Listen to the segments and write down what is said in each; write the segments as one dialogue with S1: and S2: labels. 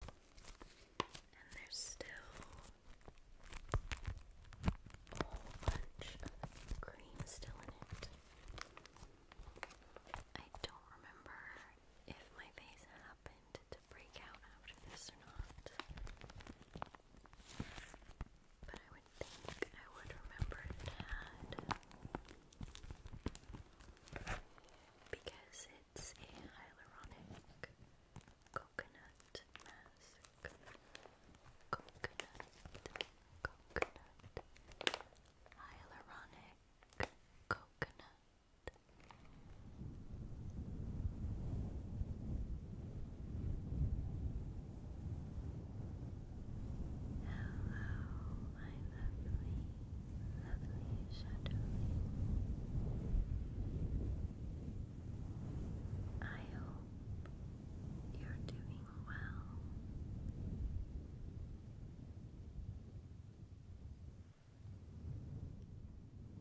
S1: And there's still a whole bunch of cream still in it. I don't remember if my face happened to break out after this or not. But I would think I would remember it had. Because it's a hyaluronic coconut mask. Coconut, coconut, hyaluronic coconut. Hello, my lovely lovely shadowy. I hope you're doing well.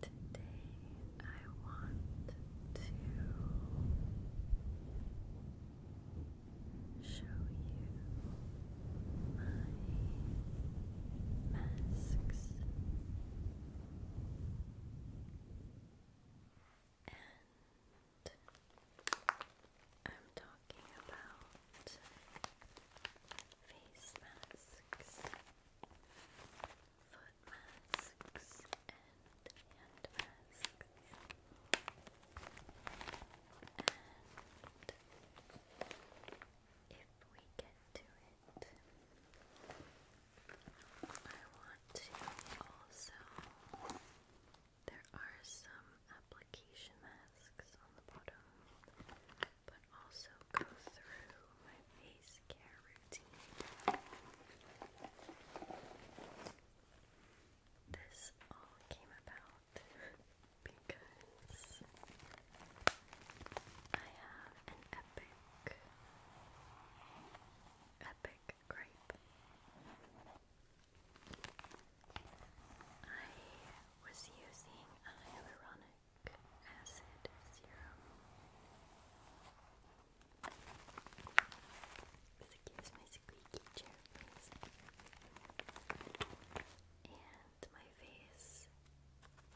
S1: Today I want to show you my masks and I'm talking about face masks, foot masks, and hand masks. And if we get to I want to also, there are some application masks on the bottom, but also go through my face care routine. This all came about. because I have an epic, epic grape. I was using hyaluronic acid serum. Excuse my squeaky chair, please. And my face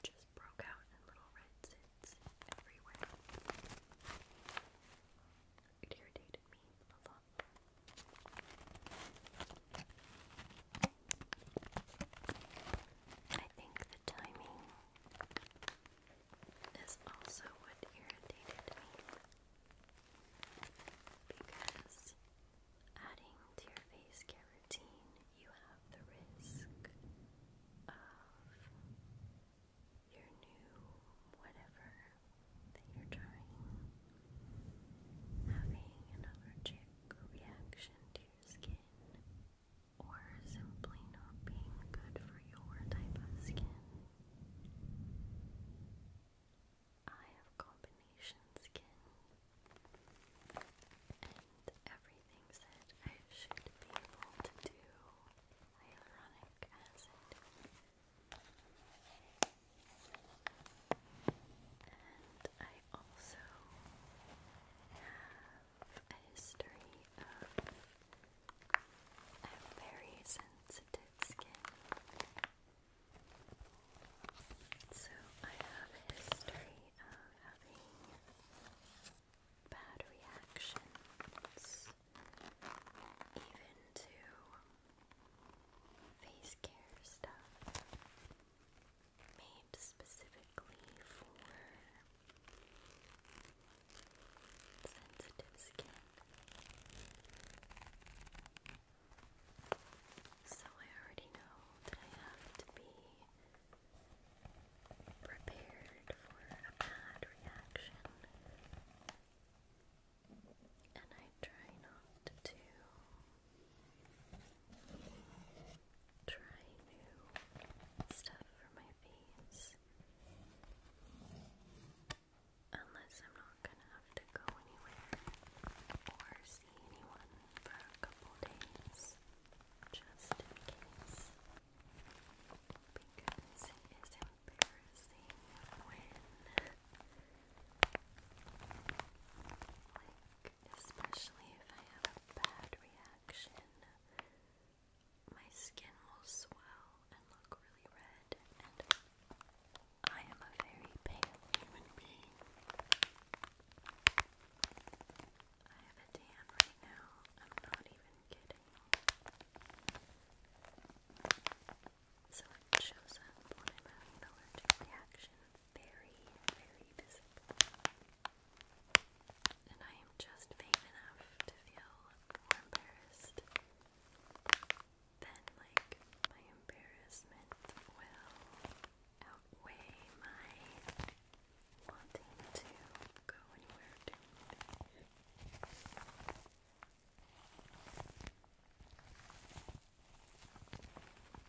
S1: just broke out in little red zits everywhere. irritated me a lot. I think the timing is also what irritated me because adding to your face routine you have the risk of your new whatever that you're trying having an allergic reaction to your skin or simply not being good for your type of skin. I have combination skin and everything said I should be able to do hyaluronic acid. And I also have a history of I have very sensitive skin. So I have history of having bad reactions, even to face care stuff made specifically for sensitive skin. So I already know that I have to be prepared for a bad reaction, and I try not to try new stuff for my face unless I'm not gonna have to go anywhere or see anyone for a couple days just in case. Because it is embarrassing when, like, especially if I have a bad reaction, my skin will swell and look really red, and I am a very pale human being. I have a tan right now. I'm not even kidding. So it shows up when having an reaction very, very visible. And I am just vain enough to feel more embarrassed than like my embarrassment will outweigh my wanting to go anywhere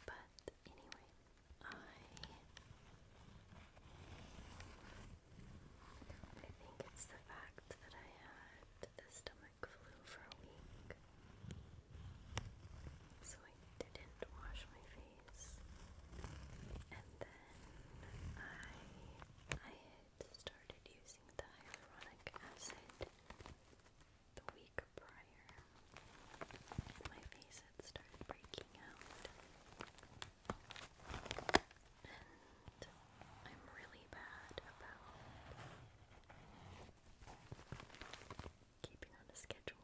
S1: But anyway, I I think it's the fact that I had the stomach flu for a week. So I didn't wash my face and then I I had started using the hyaluronic acid the week prior. My face had started breaking out, and I'm really bad about keeping on a schedule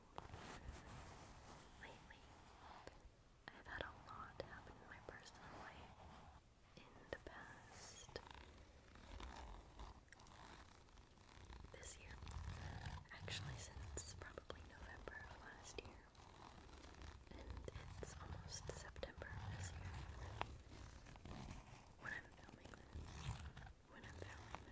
S1: lately. I've had a lot happen in my personal life in the past this year. Actually, since probably November last year. And it's almost September this year when I'm filming when I'm filming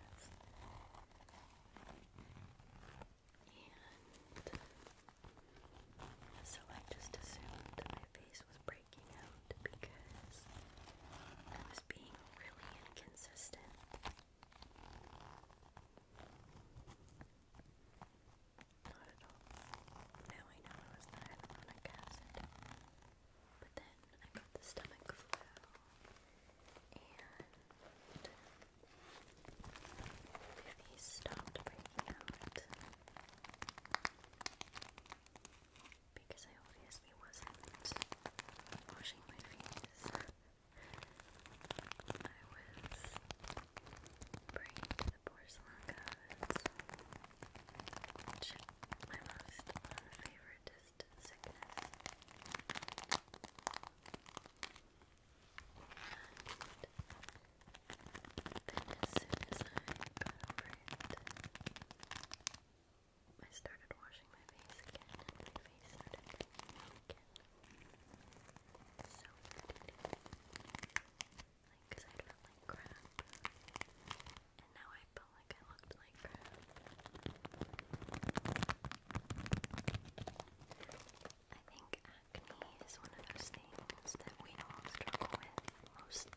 S1: And so I just assumed my face was breaking out because I was being really inconsistent. Not at all. Now I know it was not hyaluronic acid. But then I got the stomach flu and these stopped breaking out because I obviously wasn't washing my face. I was bringing the porcelain gods, my most favorite is sickness. And then as soon as I got over it, I started washing my face again, my face started getting again. So pretty. I felt like crap. And now I felt like I looked like crap. I think acne is one of those things that we all struggle with, most,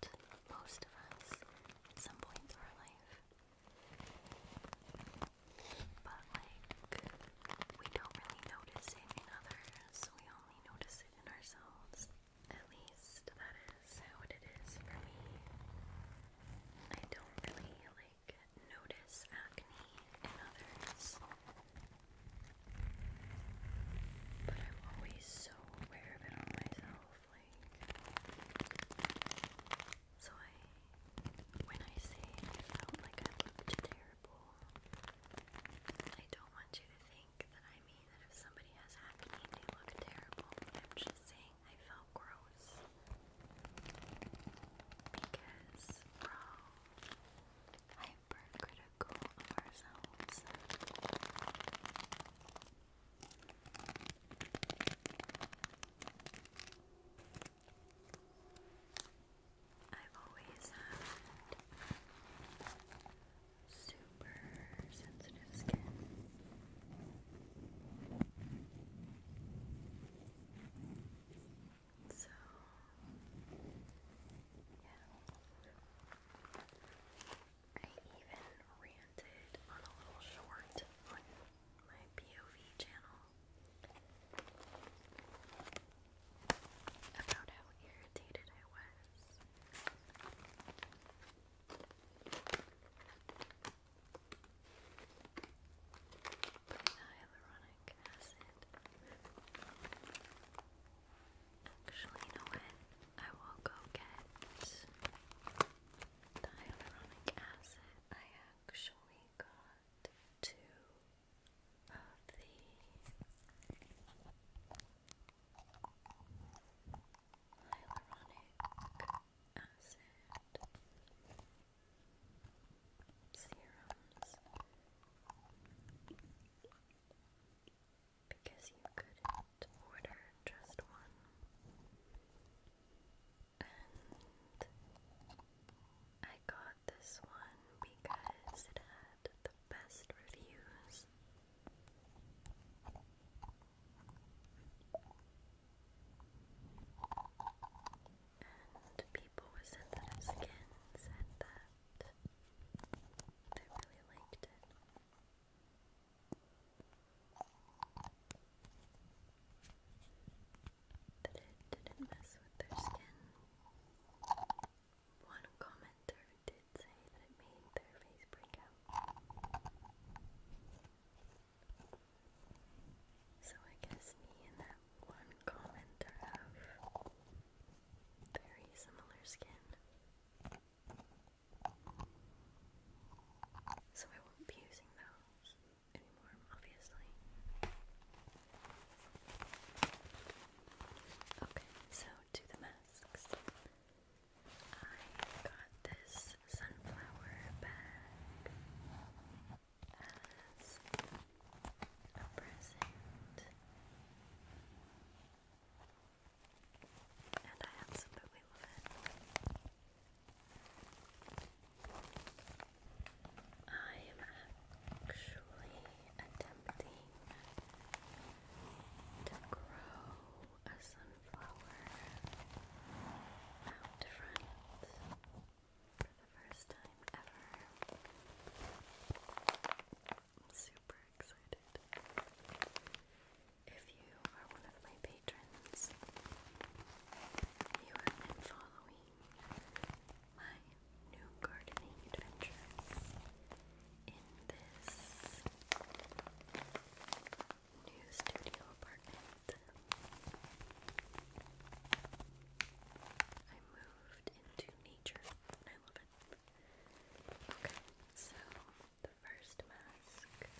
S1: most of us, at some point through our life. But, like, we don't really notice it in others, we only notice it in ourselves. At least that is how it is for me. I don't really, like, notice acne in others. But I'm always so aware of it myself, like so I when I say I felt like I looked terrible, I don't want you to think that I mean that if somebody has acne they look terrible. I'm just saying I felt smell gross because we're all hypercritical of ourselves. I've always had super sensitive skin. So, yeah. I even ranted on a little short on my POV channel about how irritated I was hyaluronic acid. Actually, you know what? I will go get hyaluronic acid. I actually got two of the hyaluronic acid serums because you couldn't order just one, and I got this one because it had the best reviews and people with sensitive skin said that they really liked it. That it didn't mess with their skin. One commenter did say that it made their face break out. So I guess me and that one commenter have very similar skin. So I won't be using those anymore, obviously. Okay, so to the masks. I got this sunflower bag as a present. And I absolutely love it. I am actually attempting to grow a sunflower out front for the first time ever. I'm super excited. If you are one of my patrons, you have following my new gardening adventures in this new studio apartment. I moved into nature and I love it. Okay, so the first mask is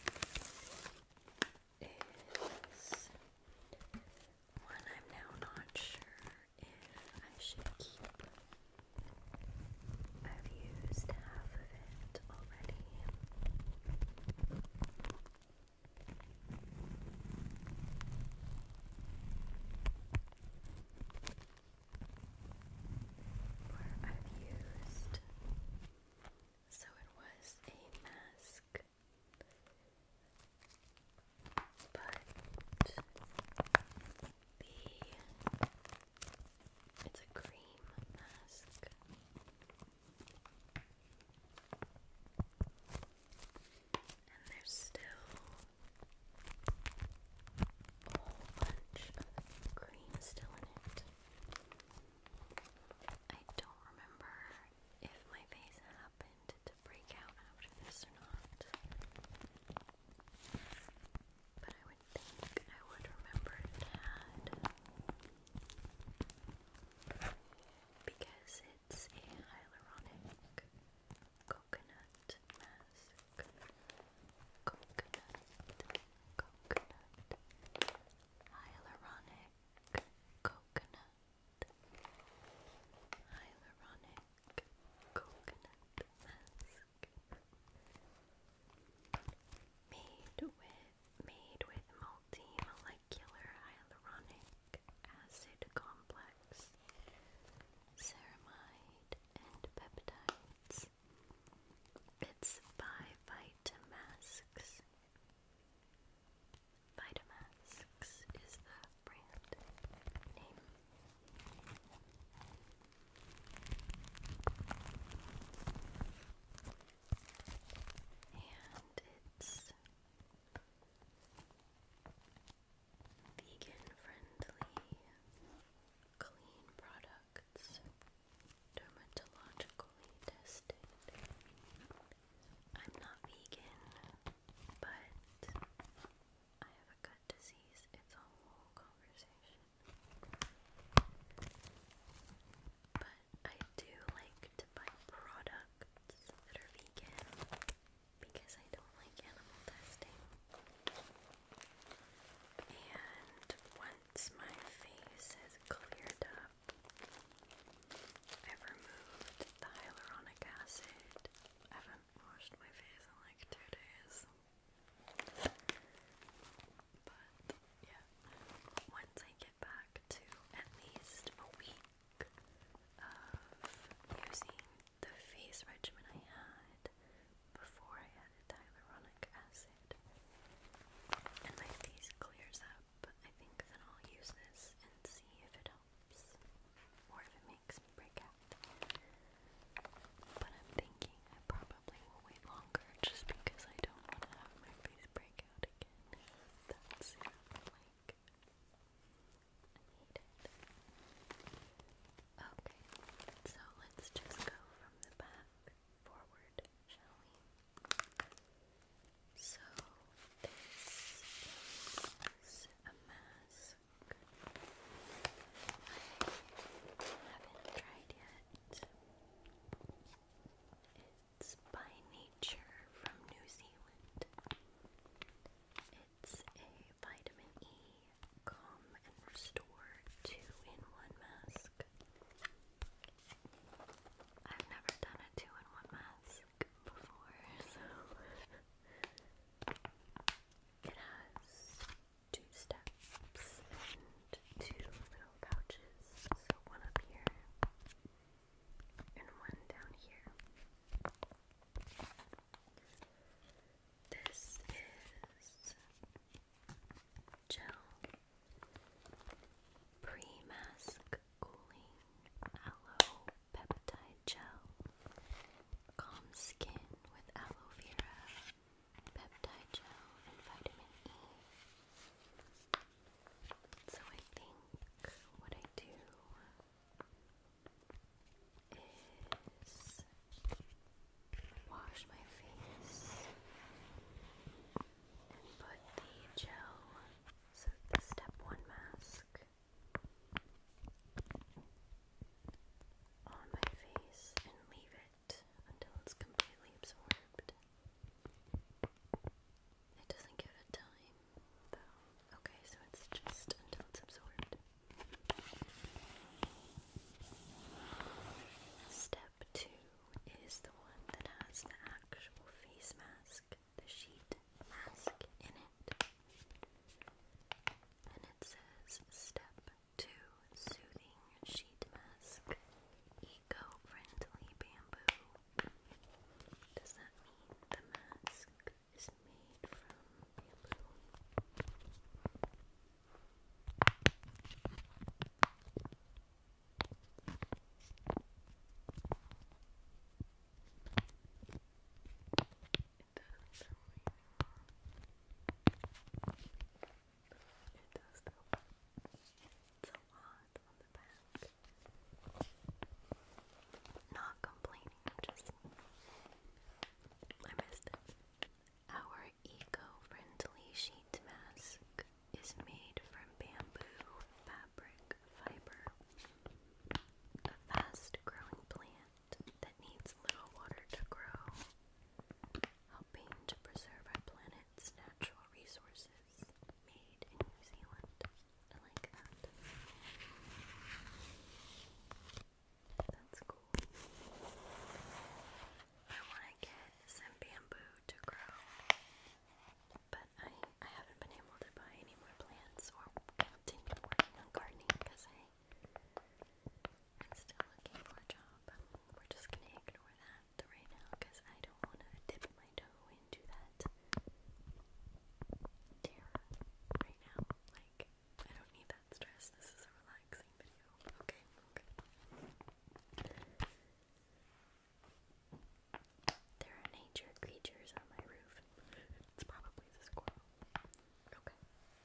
S1: one I'm now not sure if I should keep. I've used half of it already. Or I've used. So it was a mask, but the it's a cream mask. And there's still a whole bunch of cream still in it. I don't remember if my face happened to break out after this or not. But I would think I would remember it had because it it's a hyaluronic coconut mask. Coconut, coconut, hyaluronic coconut, hyaluronic coconut mask. Made with made with multi molecular hyaluronic acid complex, ceramide, and peptides. It's by Vitamax. Vitamax is the brand name. And it's Vegan friendly clean products dermatologically tested. I'm not vegan, but I have a gut disease. It's a whole conversation. But I do like to buy products that are vegan because I don't like animal testing. And once my face is cleared up, I've removed the hyaluronic acid. I haven't washed my face in like two days. But yeah, once I get back to at least a week of using the face regimen I had before I added hyaluronic acid. And my face clears up. I think then I'll use this and see if it helps or if it makes me break out. But I'm thinking I probably will wait longer just because I don't want to have my face break out again that soon. I need Okay, so let's just go from the back forward, shall we? So, this is a mask. I haven't tried yet. It's by nature from New Zealand. It's a vitamin E calm and restore two in one mask. I've never done a two in one mask before, so it has two steps and two little pouches. So one up here and one down here. This is gel pre-mask cooling aloe peptide gel. Calm skin with aloe vera, peptide gel, and vitamin E. So I think what I do is wash my face and put the gel, so the step one mask on my face and leave it until it's completely absorbed. It doesn't give a time, though. Okay, so it's just until it's absorbed. Step two is the one that has the actual face mask, the sheet mask in it. And it says step two soothing sheet mask, eco friendly bamboo does that mean the mask is made from bamboo? It does. It does It's a lot on the back. Not complaining, just I missed it. Our eco-friendly sheet mask is made from bamboo fabric fiber, a fast-growing plant that needs little water to grow, helping to preserve our planet's natural resources says made in New Zealand. I like that. That's cool. I want to get some bamboo to grow, but I, I haven't been able to buy any more plants or continue working on gardening because I, I'm still looking for a job. We're just going to ignore that right now because I don't want to dip my toe into that terror right now. Like, I don't need that stress. This is a relaxing video. Okay, There are nature creatures on my roof. It's probably the squirrel. Okay,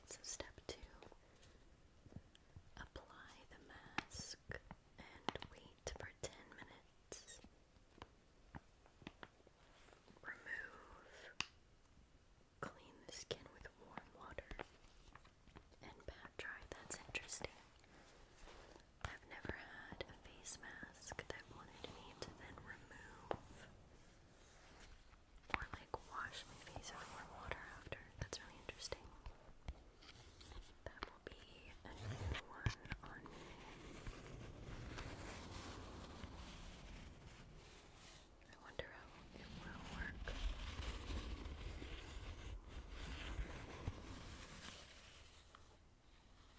S1: so step two apply the mask and wait for 10 minutes. Remove. Clean the skin with warm water and pat dry. That's interesting. I've never had a face mask that wanted me to then remove or like wash my face with warm water after. That's really interesting.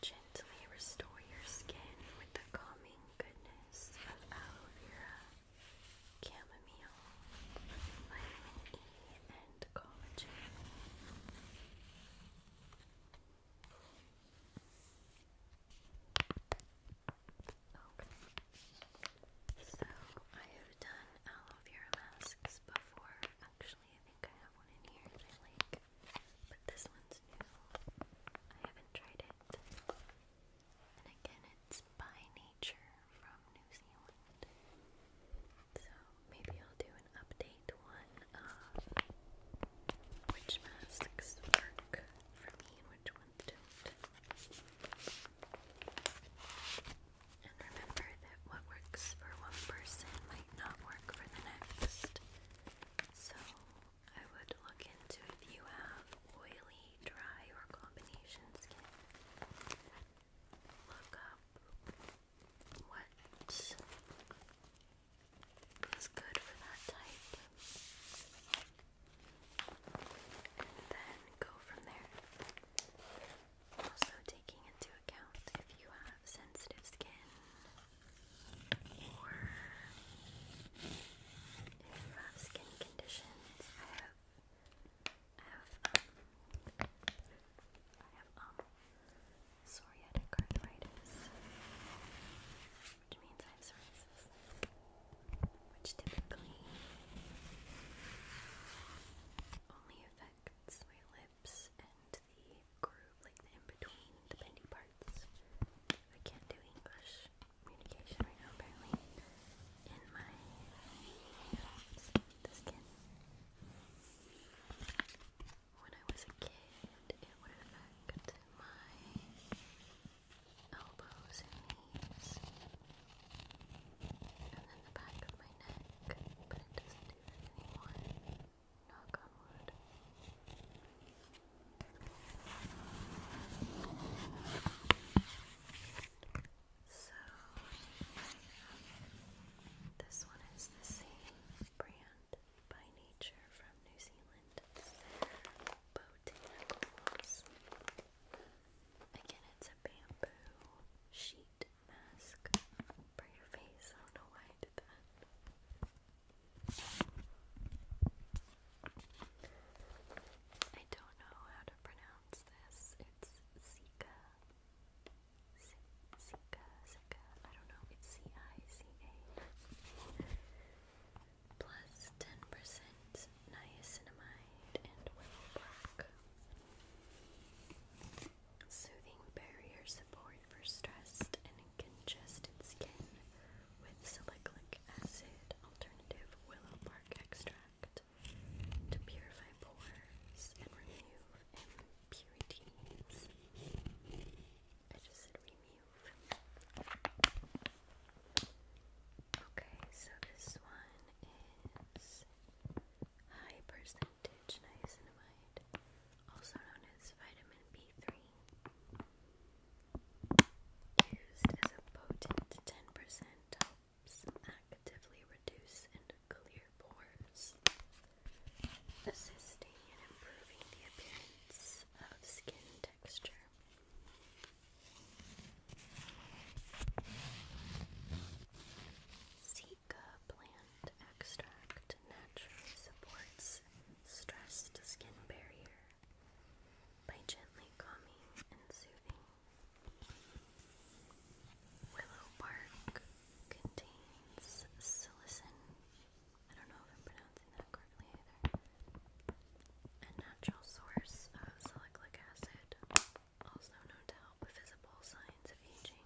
S1: Gently restore your skin with the calming goodness of aloe vera, chamomile, vitamin E, and collagen. Okay. So I have done aloe vera masks before. Actually, I think I have one in here that I like, but this one's new. I haven't tried it. And again, it's by nature from New Zealand. So maybe I'll do an update one uh, which masks work for me and which ones don't. And remember that what works for one person might not work for the next. So I would look into if you have oily, dry, or combination skin. Look up what is good for that type. And then go from there. Also, taking into account if you have sensitive skin or if you have skin conditions. Um, I have um psoriatic arthritis, which means I have psoriasis, which typically only affects my lips and the groove, like in-between, the bendy parts. I can't do English communication right now, apparently. In my the skin when I was a kid, it would affect my elbows and knees, and then the back of my neck, but it doesn't do that anymore. Knock So, this one is the same brand by nature from New Zealand. Botanicals. Again, it's a bamboo sheet mask for your face. I don't know why I did that. I don't know how to pronounce this. It's Zika. Zika, Zika, I don't know, it's C-I-C-A. Plus 10% niacinamide and willow Soothing barrier support for stressed and congested skin with salicylic acid alternative willow bark extract to purify pores and remove purity means. I just said remove. Okay, so this one is high percentage niacinamide, also known as vitamin B3, used as a potent 10% helps actively reduce and clear pores, assisting in improving the appearance of skin texture. Sika plant extract naturally supports stressed skin barrier by gently calming and soothing. Willow bark contains silicin I And natural source of salicylic acid, also known to help visible signs of aging.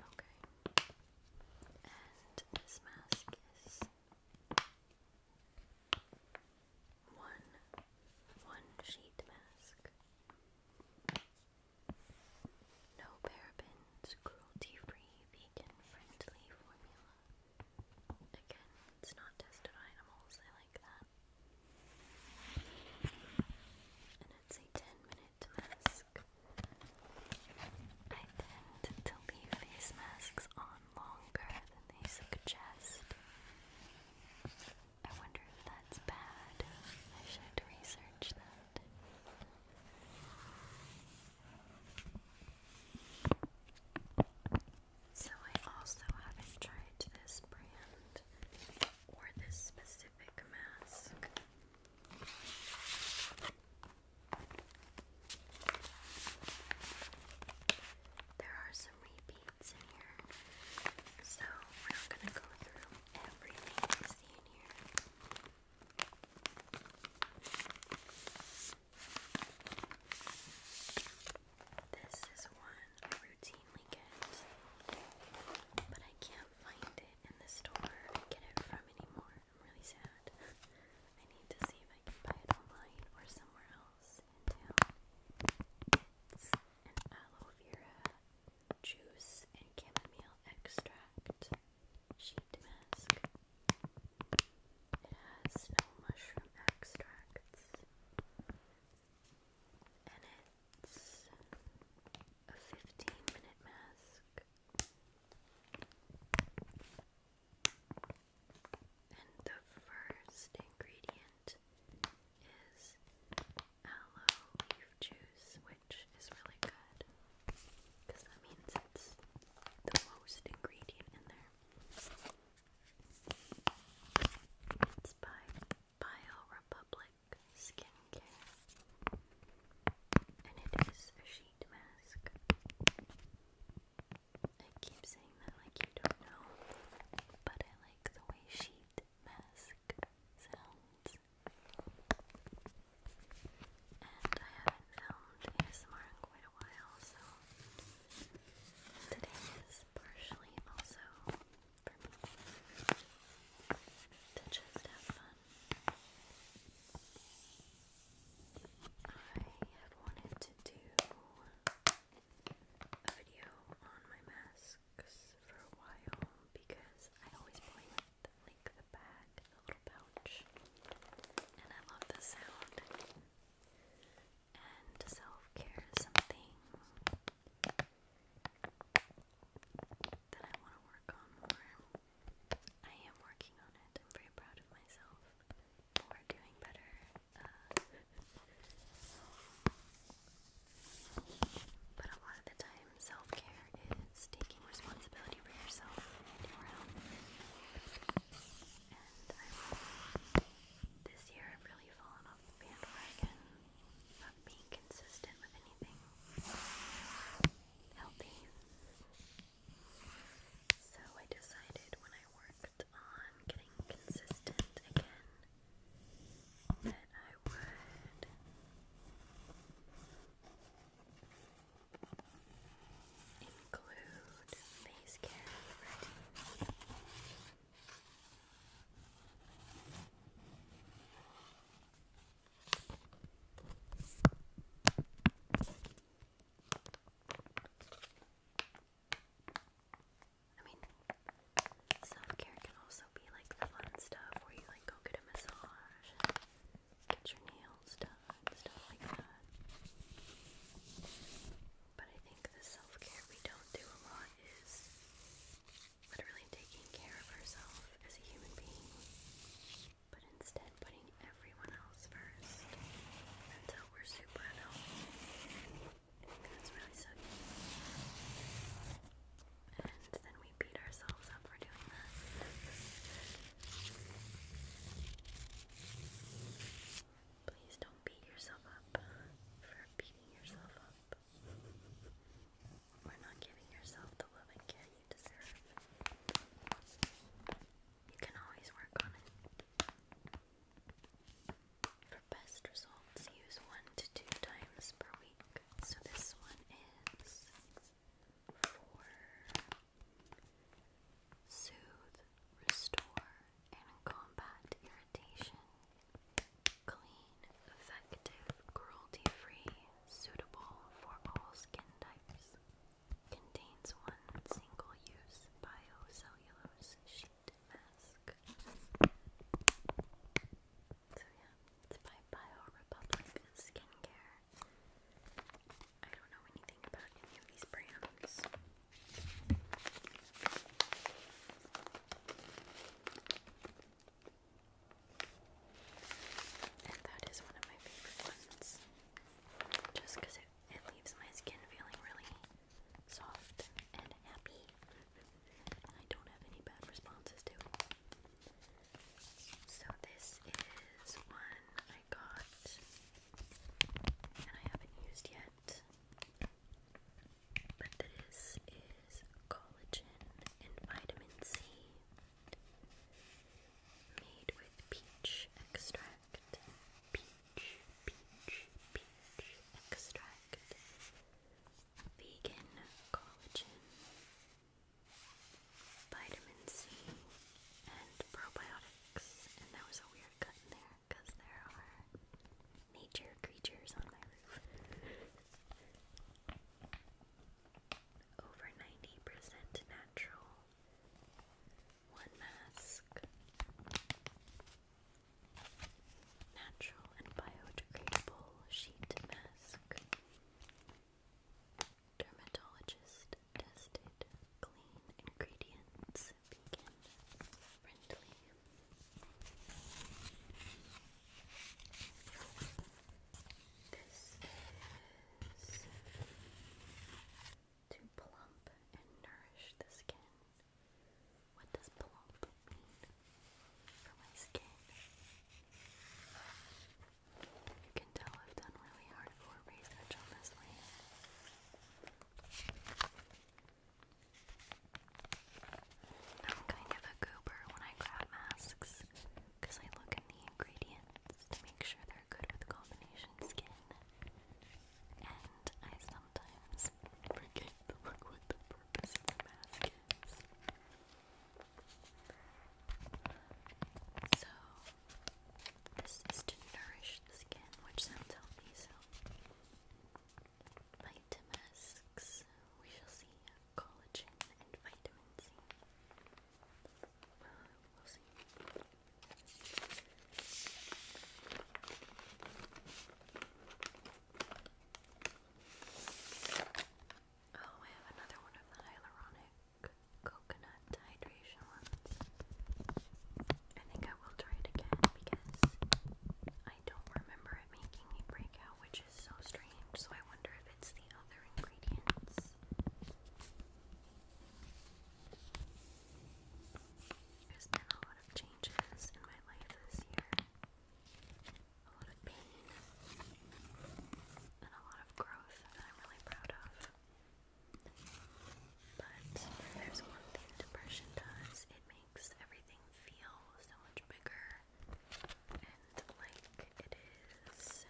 S1: Okay. And this mask is one one sheet mask. No parabens, cruelty-free, vegan-friendly formula. Again, it's not tested on animals, I like that. And it's a 10-minute mask. I tend to leave face masks on longer than they suggest. I wonder if that's bad. I should research that. So I also haven't tried this brand or this specific mask. There are some repeats in here, so we're not going to go through everything you see in here. This is one routinely get, but I can't find it in the store get it from anymore. I'm really sad. I need to see if I can buy it online or somewhere else in town. It's an aloe vera juice and chamomile extract sheet mask. It has no mushroom extracts, and it's a 15 minute mask. And the first ingredient is aloe juice, which is really good because that means it's the most ingredient in there. It's by BioRepublic Skincare, and it is a sheet mask. I keep saying that like you don't know, but I like the way sheet mask sounds. And I haven't filmed ASMR in quite a while, so today is partially also for me to just have fun. I have wanted to do a video on my masks for a while because I always play the bag, the little pouch. And I love the sound. And self care is something that I want to work on more. I am working on it. I'm very proud of myself for doing better. Uh, but a lot of the time, Self care is taking responsibility for yourself and your health. And this year I've really fallen off the bandwagon of being consistent with anything healthy. So I decided when I worked on getting consistent again that I would include face care I mean, self care can also be like the fun stuff where you like go get a massage, get your nails done, stuff like that. But I think the self care we don't do a lot is literally taking care of ourselves as a human being, but instead putting everyone else first until we're super unhealthy. that's really sucky. And then we beat ourselves up for doing that. Please don't beat yourself up for beating yourself up. We're not giving yourself the love and care you deserve. You can always work on it. For best results, use one to two times per week. So this one is for soothe, restore, and combat irritation. Clean, effective, cruelty-free, suitable for all skin types. Contains one single-use biocellulose sheet mask. So yeah, it's by BioRepublic Skincare. I don't know anything about any of these brands. that is one of my favorite ones. Just because it, it leaves my skin feeling really soft and happy. I don't have any bad responses to so this is one I got and I haven't used yet. But this is collagen and vitamin C made with peach extract. Peach, peach, peach extract. Vegan collagen vitamin C, and probiotics. And that was a weird cut in there because there are nature creatures on my roof. Over 90% natural. One mask. Natural and biodegradable sheet mask. Dermatologist tested clean ingredients, vegan friendly. to plump and nourish the skin. What does plump mean for my skin? You can tell I've done really hardcore research on I'm kind of a goober when I grab masks because I look at the ingredients to make sure they're good with combination skin. And I sometimes forget the purpose of the mask so, this is to nourish the skin, which sounds healthy, so Vitamix, we shall see uh, collagen and vitamin C. we'll see. Oh, I have another one of the hyaluronic coconut hydration ones. I think I will try it again because I don't remember it making me break which is so strange. So I wonder if it's the other ingredients. There's been a lot of changes in my life this year a lot of pain and a lot of growth that I'm really proud of. But there's one thing depression does, it makes everything feel so much bigger and like it is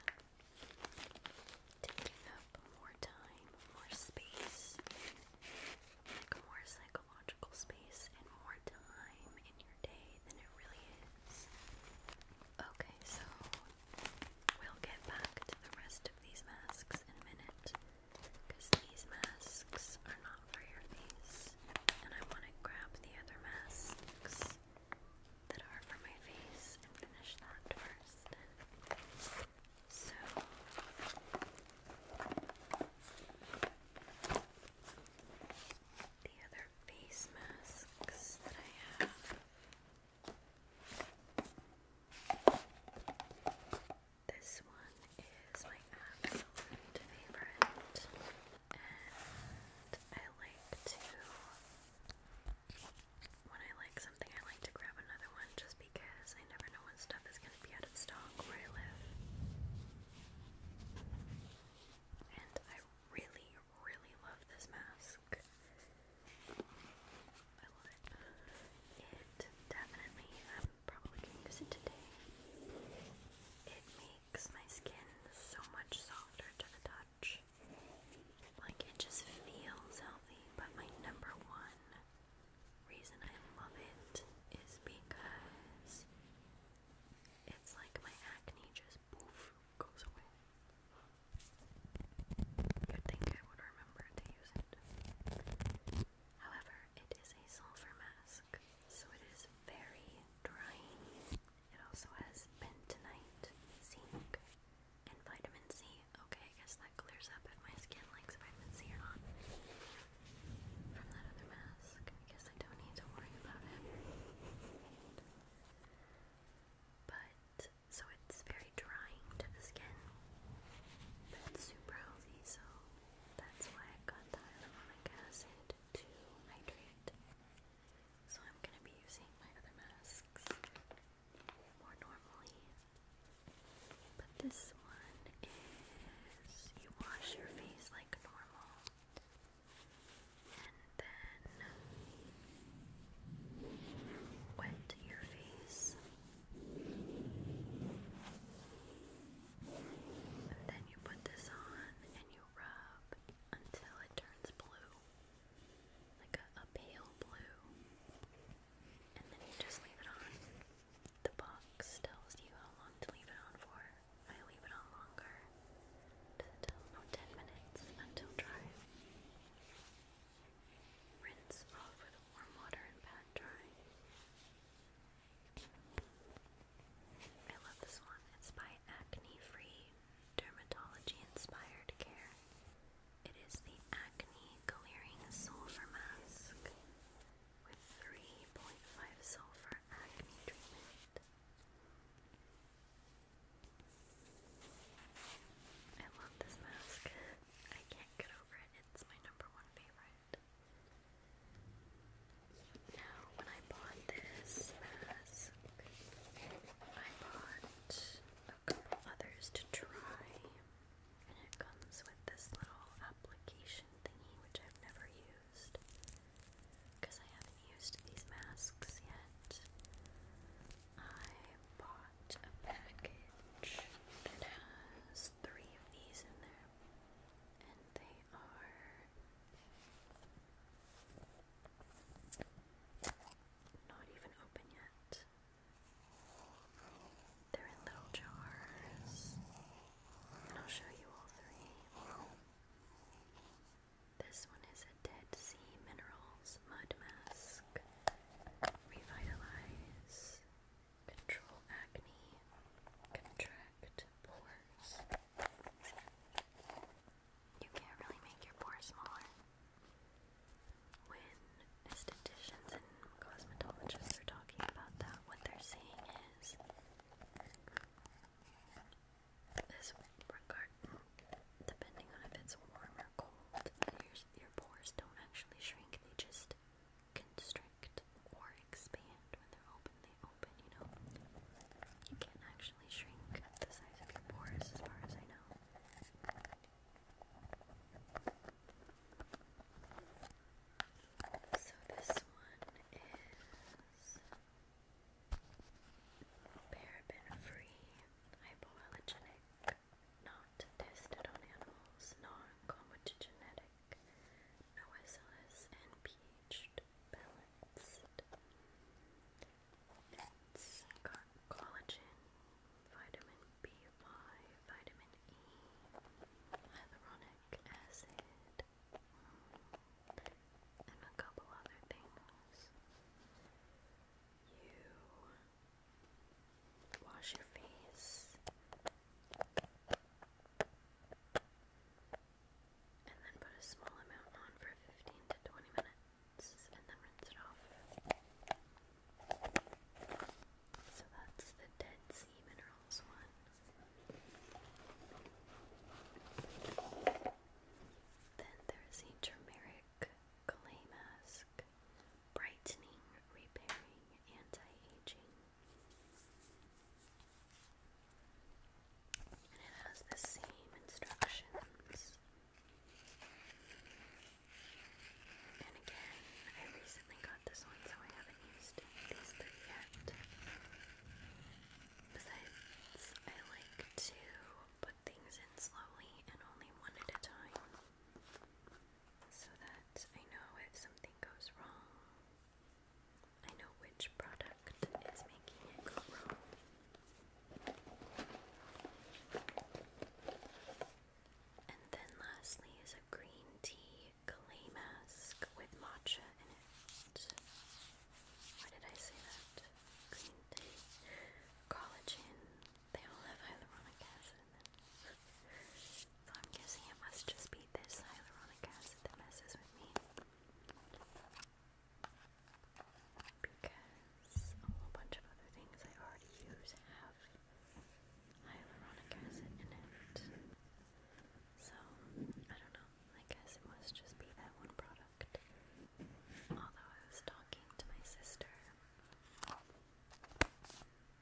S1: taking up more time, more space, like more psychological space and more time in your day than it really is. Okay, so we'll get back to the rest of these masks in a minute because these masks are not for your face, and I want to grab the other masks that are for my face and finish that first. So, the other face masks that I have. This one is my absolute favorite, and I like to, when I like something, I like to grab another one just because I never know when stuff is going to be out of stock where I live. And I really, really love this mask. I love it. It definitely, I'm probably going to use it today. It makes my skin so much softer to the touch. Like it just feels healthy, but my number one reason I love it is because it's like my acne just goes away. You'd think I would remember to use it. However, it is a sulfur mask, so it is very drying. It also has bentonite, zinc, and vitamin C. Okay, I guess that clears up if my skin likes vitamin C or not. From that other mask, I guess I don't need to worry about it but so it's very drying to the skin. But it's super healthy, so that's why I got the hyaluronic acid to hydrate. So I'm gonna be using my other masks more normally. But this one is you wash your face like normal and then wet your face, and then you put this on and you rub until it turns blue, like a, pale blue, and then you just leave it on. The box tells you how long to leave it on for. I leave it on longer until about 10 minutes until dry. Rinse off with warm water and pat dry. I love this one. It's by Acne Free Dermatology Inspired Care. It is the Acne Clearing Sulfur Mask with 3.5 sulfur acne treatment. I love this mask. I can't get over it. It's my number one favorite. Now, when I bought this mask, I bought a couple others to try, and it comes with this little application thingy, which I've never used because I haven't used these masks yet. I bought a package that has three of these in there, and they are not even open yet. They're in little jars, and I'll show you all three. This one is a Dead Sea Minerals Mud Mask. Revitalize. Control acne. Contract pores. You can't really make your pores smaller. When estheticians and cosmetologists are talking about that, what they're saying is this regard, depending on if it's warm or cold, your, your pores don't actually shrink, they just constrict or expand when they're open, they open, you know? You can't actually shrink the size of your pores as far as I know. So this one is Paraben-free, hypoallergenic, not tested on animals, non-comatogenetic, no and pH balanced. It's got collagen, vitamin B5, vitamin E, hyaluronic acid and a couple other things. You wash your face and then put a small amount on for 15 to 20 minutes and then rinse it off. So that's the Dead Sea Minerals one. Then there's the turmeric clay mask, brightening, repairing, anti-aging. And it has the same instructions. And again, I recently got this one, so I haven't used these three yet. Besides, I like to put things in slowly and only one at a time so that I know if something goes wrong, I know which product is making it go wrong. And then lastly is a green tea clay mask with matcha in it. Why did I say that? collagen. They all have hyaluronic acid so I'm guessing it must just be this hyaluronic acid that messes with me. Because a whole bunch of other things I already use have hyaluronic acid in it. So, I don't know. I guess it must just be that one product. Although I was talking to my sister,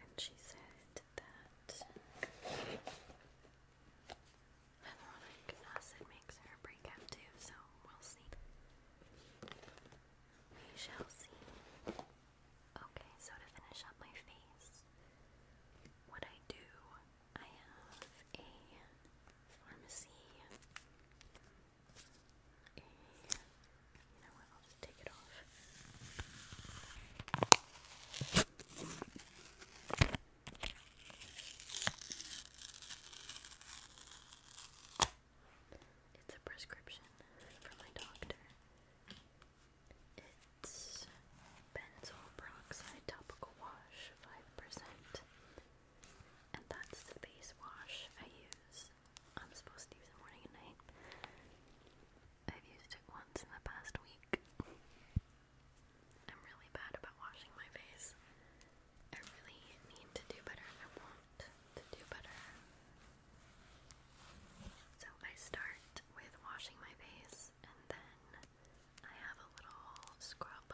S1: and she said that hyaluronic acid makes her break out too, so we'll see. We shall see. Okay, so to finish up my face, what I do I have a pharmacy. A, I'll just take it off. It's a prescription from my doctor. It's benzoyl peroxide topical wash, 5%. And that's the base wash I use. I'm supposed to use it morning and night. I've used it once in the past week. I'm really bad about washing my face. I really need to do better. I want to do better. So I start with washing my face and then I have a little scrub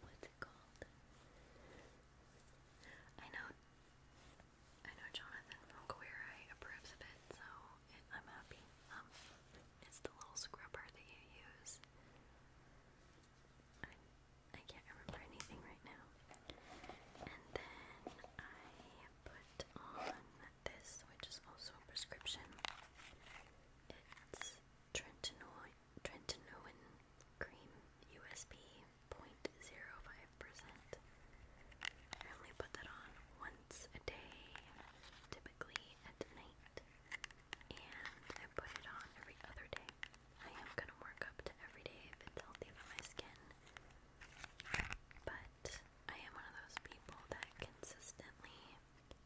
S1: what's it called? I know I know Jonathan from approves of it, so I'm happy. Um, it's the little scrubber that you use. I can't remember anything right now. And then I put on this, which is also a prescription. It's Trentinoin, Trentinoin cream USB point zero five percent I only put that on once a day, typically at night, and I put it on every other day. I am going to work up to every day if it's healthy for my skin, but I am one of those people that consistently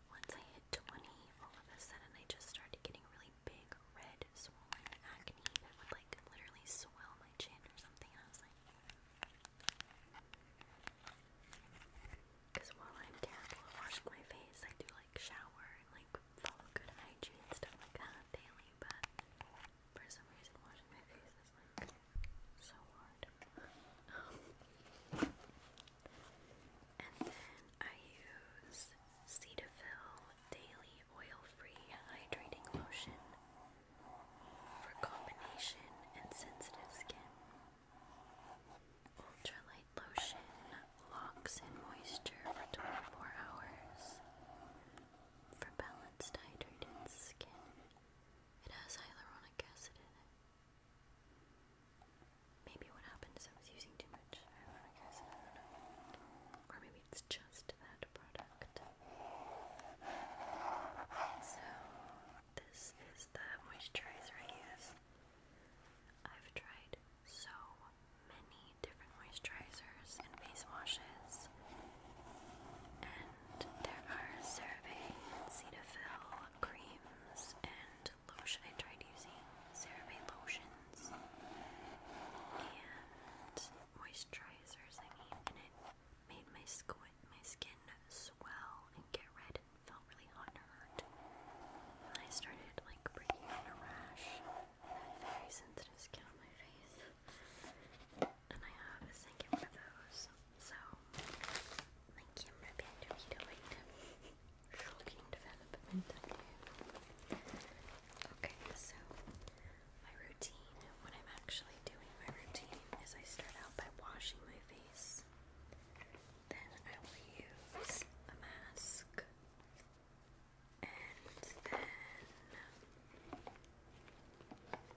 S1: once I hit 20, all of a sudden I just started getting really big, red, swollen acne that would like literally swell my chin or something. I was like, because while I'm terrible at washing my face, I do like shower and like follow good hygiene and stuff like that daily, but for some reason washing my face is like so hard and then I use Cetaphil Daily Oil-Free Hydrating Lotion for combination and sensitive skin. Ultralight lotion locks in moisture for 24 hours for balanced, hydrated skin. It has hyaluronic acid in it. Maybe what happened is I was using too much Or maybe it's just that product. So, this is the moisturizer I use. I've tried so many different moisturizers and face washes, and there are CeraVe Cetaphil creams and lotion. I tried using ceramide lotions and moisturizers, I mean, and it made my skin, swell and get red and felt really hot I started like breaking out a rash that very sensitive skin on my face. And I have a second one of those so, my camera battery died. Shocking development. Okay, so my routine, what I'm actually doing, my routine is I start out by washing my face. Then I will use a mask. And then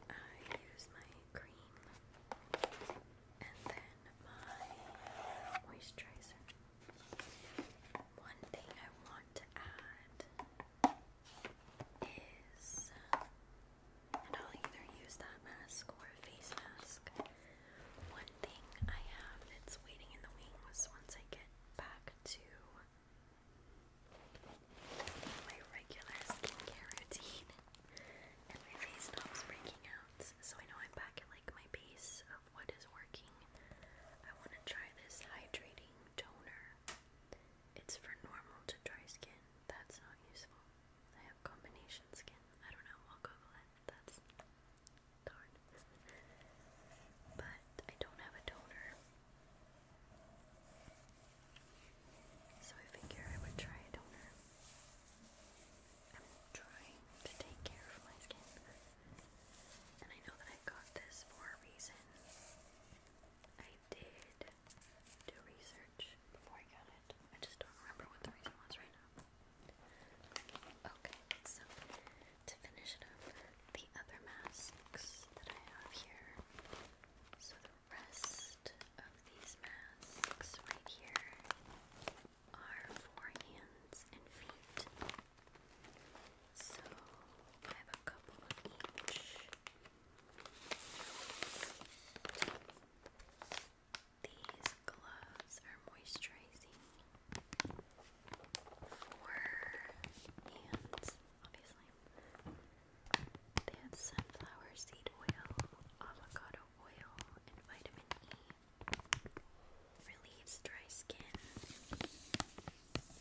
S1: um, I use my cream and then my moisturizer. One thing I want to add is, and I'll either use that mask or face mask. One thing I have that's waiting in the wings once I get back to my regular skincare routine and my face stops breaking out. So I know I'm back at like my base of what is working. I want to try this hydrating toner. It's for normal to dry skin. That's not useful. I have combination skin. I don't know. I'll Google it. That's darn. but I don't have a toner. So I figure I would try a toner. I'm trying to take care of my skin. And I know that I got this for a reason. I did do research before I got it. I just don't remember what the reason was right now. Okay, so to finish it up, the other masks that I have here. So the rest of these masks right here are for hands and feet. So I have a couple each. These gloves are moisturizing for hands, obviously. They have sunflower seed oil, avocado oil and vitamin E. Relieves dry skin.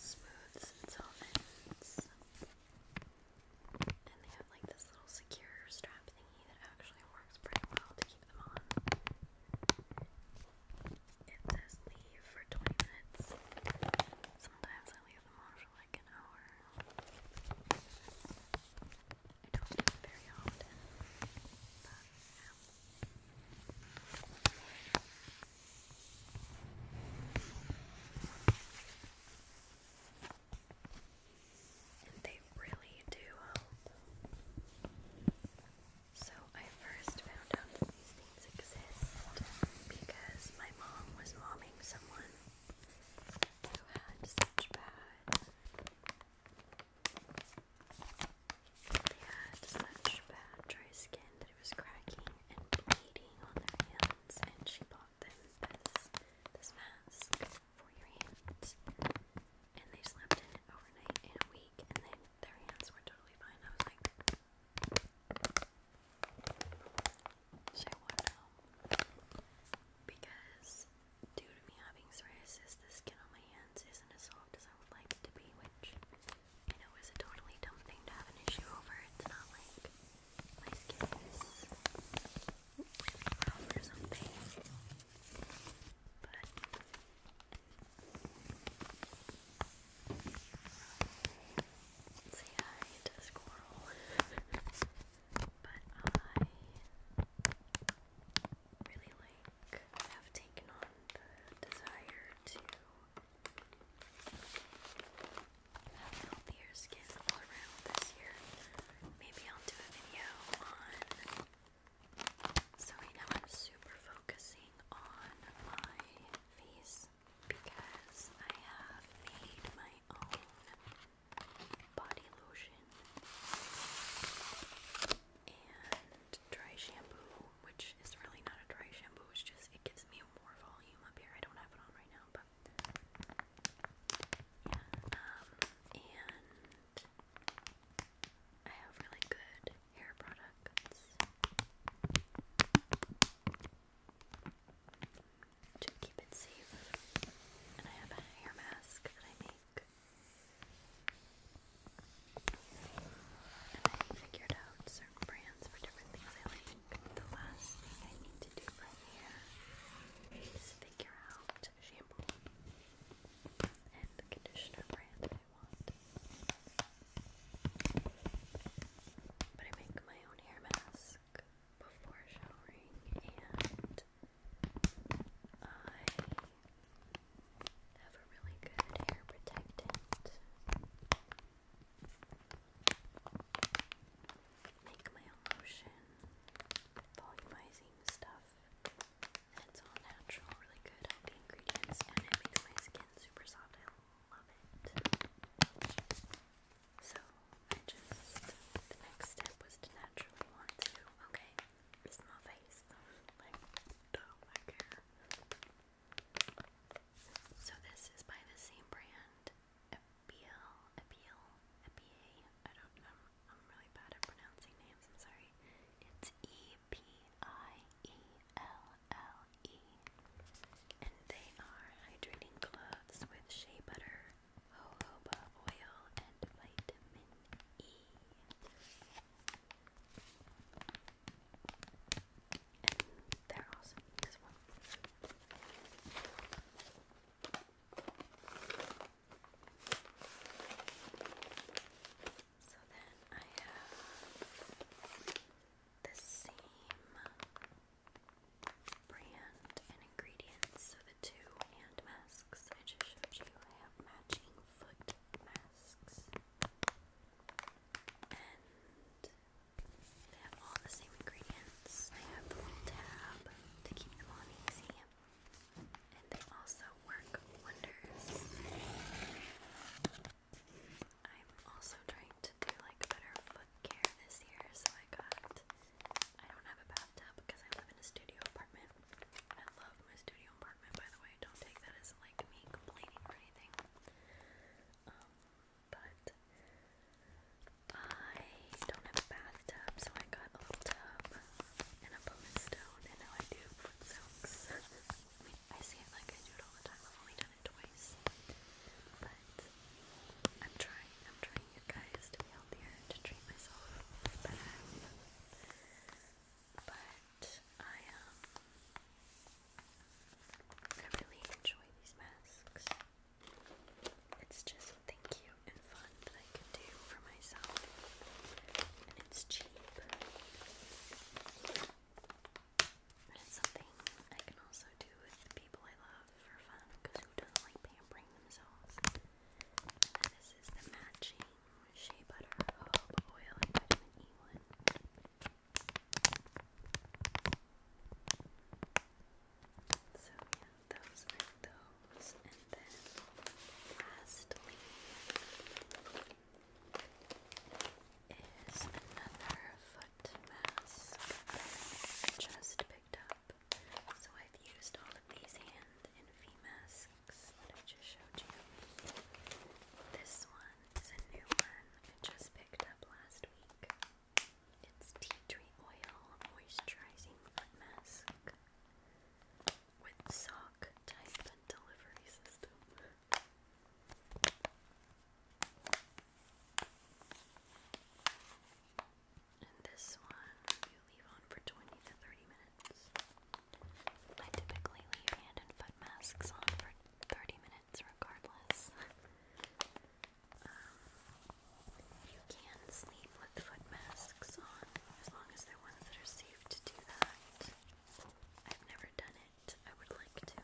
S1: Smooths and softens. And they have like this little secure strap thingy that actually works pretty well to keep them on. It says leave for 20 minutes. Sometimes I leave them on for like an hour. I do very often, they really do help. So I first found out that these things exist because my mom was momming someone who had such bad they had such bad dry skin that it was cracking and bleeding on their hands, and she bought them this this mask for your hands. And they slept in it overnight in a week, and then their hands were totally fine. I was like, so I want to know because due to me having psoriasis, the skin on my hands isn't as soft as I would like it to be, which I know is a totally dumb thing to have an issue over. It's not like my skin is rough or something. But say hi to the squirrel. but I really like have taken on the desire to have healthier skin all around this year. Maybe I'll do a video on so right now I'm super focusing on my face because I have made my own body lotion and dry shampoo, which is really not a dry shampoo, it's just it gives me more volume up here. I don't have it on right now, but yeah. Um, and I have really good hair products to keep it safe. And I have a hair mask that I made. I figured out certain brands for different things I like. The last thing I need to do from here is figure out shampoo and conditioner brand I want. But I make my own hair mask before showering and I have a really good hair protectant. Make my own lotion, volumizing stuff. It's all natural, really good ingredients, and it makes my skin super soft. I love it. So the next step was to naturally want to. Okay, it's face. Like, I don't care. So this is by the same brand, Appeal, Appeal, Appeal. I don't know. I'm really bad at pronouncing names. sorry. It's E P I E L L E, and they are hydrating clothes with shea butter, jojoba oil, and vitamin E. And they're awesome, So then I have the same brand and ingredients, two hand masks I just showed you. I have matching foot masks. And they have all the same ingredients. I have the little tab to keep them on easy. And they also work wonders. I'm also trying to do like better foot care this year, so I got I don't have a bathtub because I live in a studio apartment. I love my studio apartment, by the way. Don't take that as like me complaining or anything. Um, but I don't have a bathtub, so I got a little tub and a pumice and now I do foot soaks. I say it like I do it all the time. I've only done it twice, but I'm trying. I'm trying you guys to be healthier, to treat myself better. But I um I really enjoy these masks. It's just something cute and fun that I can do for myself. And it's cheap. And it's something I can also do with people I love for fun who does this is the matching shea butter, oil, and one. So yeah, those those. And then lastly is another foot mask just picked So I've used all of these hand and feet masks that I just showed you. This one is a new one I just picked up last week. It's tea tree oil moisturizing foot mask with sock type delivery system this one you leave on for 20 to 30 minutes. I typically leave hand and foot masks on for 30 minutes regardless. Um, you can sleep with foot masks on as long as they're ones that are safe to do that. I've never done it. I would like to.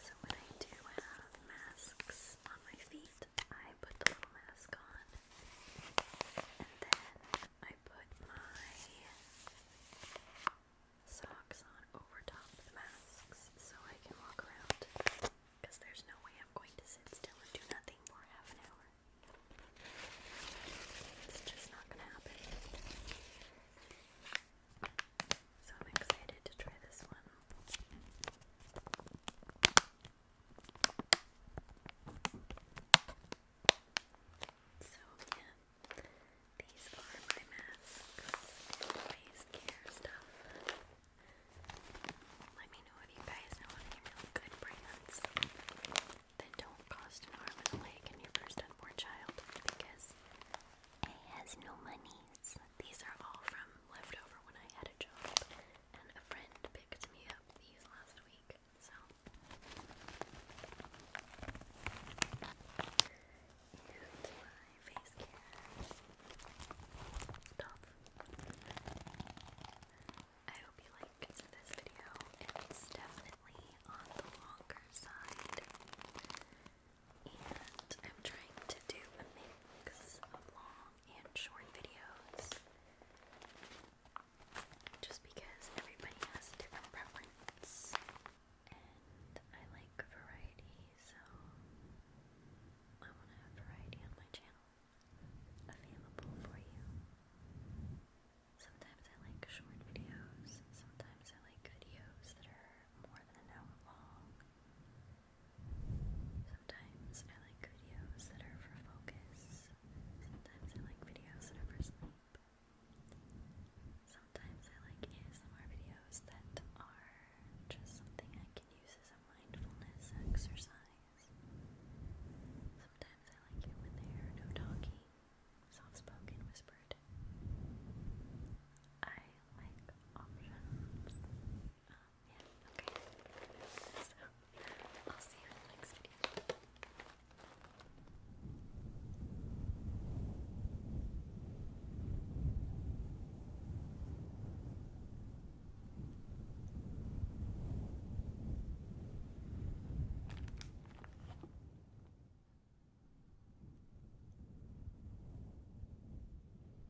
S1: So when I do have masks on my feet, I put the little mask on, and then I put my socks on over top of the masks so I can walk around. Because there's no way I'm going to sit still and do nothing for half an hour. It's just not gonna happen. So I'm excited to try this one. So, yeah, these are my masks face care stuff. Let me know if you guys know any good brands that don't cost an arm and a leg in your first unborn child because I has no monies. These are all from leftover when I had a job and a friend picked me up last week, so. And my face care stuff. I hope you like this video. It's definitely on the longer side. And I'm trying to do a mix of long and short videos just because everybody has different preference and I like variety, so I want to have variety on my channel available for you. Sometimes I like short videos, sometimes I like videos that are more than an hour long. Sometimes I like videos that are for focus. Sometimes I like videos that are for sleep. Sometimes I like ASMR videos that are just something I can use as a mindfulness exercise. Sometimes I like it when they are no talking, soft spoken, whispered. I like options. Um, yeah, okay. So, I'll see you in the next video.